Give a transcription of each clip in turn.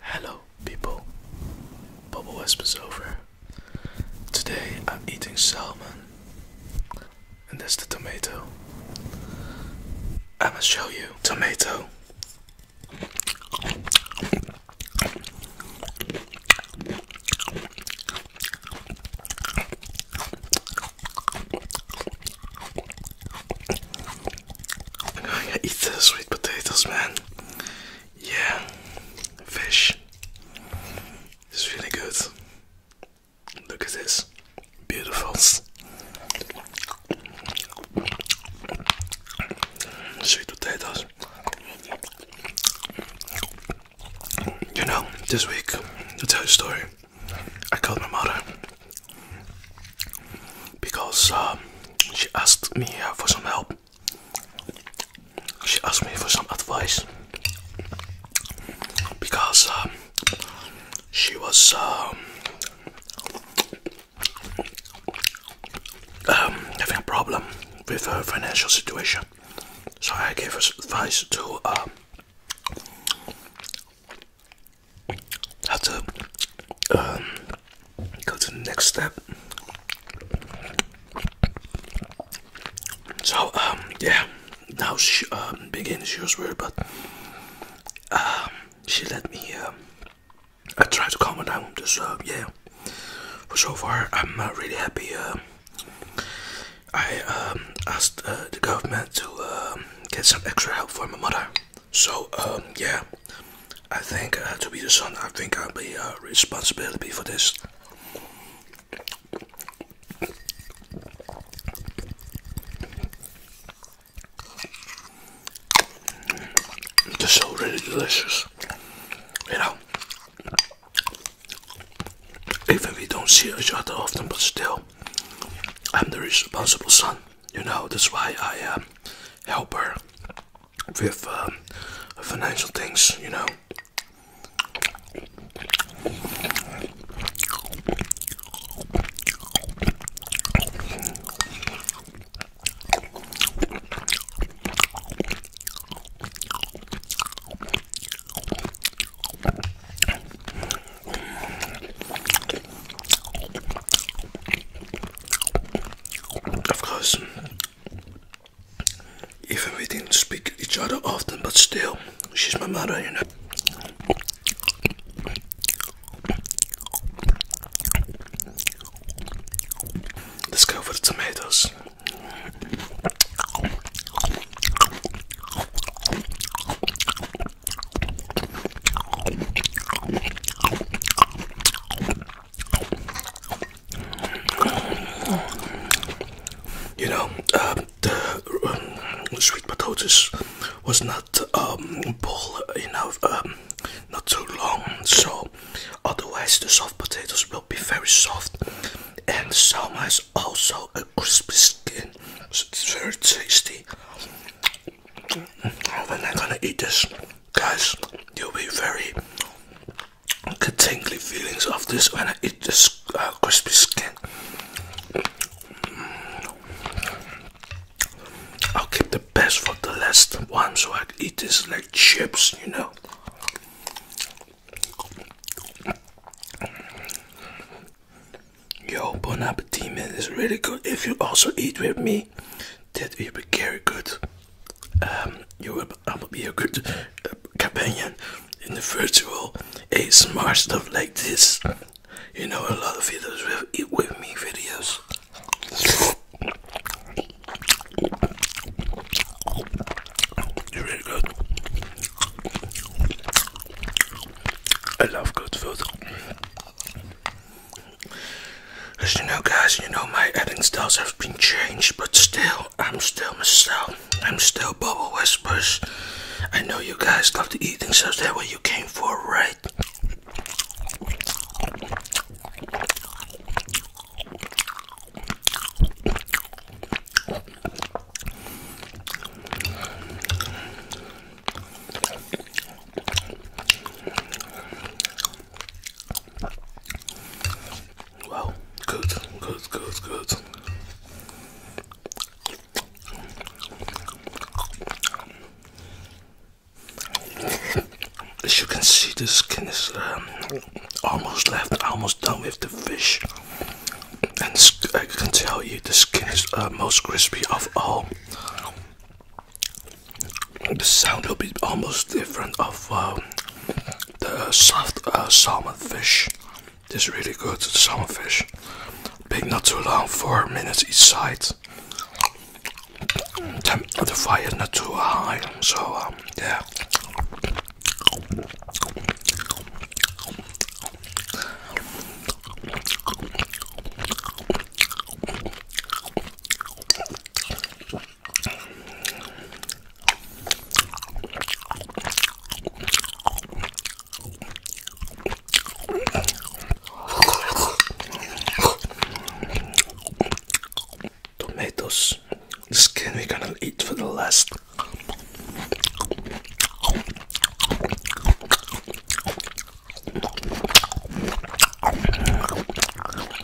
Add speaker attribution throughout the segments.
Speaker 1: Hello, people. Bubble Wisp is over. Today I'm eating salmon, and that's the tomato. I'm gonna show you tomato. I'm going to eat the sweet potatoes, man. Yeah, fish. It's really good. Look at this. Beautiful. Sweet potatoes. You know, this week, to tell you a story, I called my mother because um, she asked me for some help. She asked me for some advice because um, she was um, having a problem with her financial situation. So I gave her advice to uh, to go to the next step. So um yeah, now she um begin she was weird, but um she let me. Um, I tried to calm her down. Just uh, yeah, for so far I'm really happy. Um, I um asked uh, the government to um, get some extra help for my mother. So um, yeah, I think uh, to be the son, I think I'll be a uh, responsibility for this. It's so really delicious, you know. Even we don't see each other often, but still, I'm the responsible son. You know, that's why I um, help her with um, financial things, you know. Of course, even we didn't speak to each other often, but still, she's my mother, you know. Let's go for the tomatoes. You know, um, the um, sweet potatoes was not boiled um, enough, not too long, so otherwise the soft potatoes will be very soft, and the salmon is also a crispy skin, it's very tasty. When I'm gonna eat this guys, you'll be very tingly feelings of this when I eat this uh, crispy skin. I'll keep the best for the last one so I can eat this like chips, you know. Yo, bon appetit man, it's really good if you also eat with me that um, will be very good. you will, be a good uh, companion in the virtual smart stuff like this. You know, a lot of videos with, with me videos. You're very good. I love good food. As you know, guys, you know my editing styles have been changed, but still, I'm still myself. I'm still Bubble Whispers. I know you guys love the eating, so that's what you came for, right? Wow, good, good, good, good. As you can see, the skin is um, almost left, almost done with the fish. And I can tell you, the skin is uh, most crispy of all the sound will be almost different of um, the soft uh, salmon fish. This is really good, salmon fish. Bake not too long, 4 minutes each side. the fire is not too high, so um, yeah. Tomatoes, the skin we're gonna eat for the last.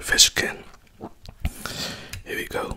Speaker 1: Fish skin. Here we go.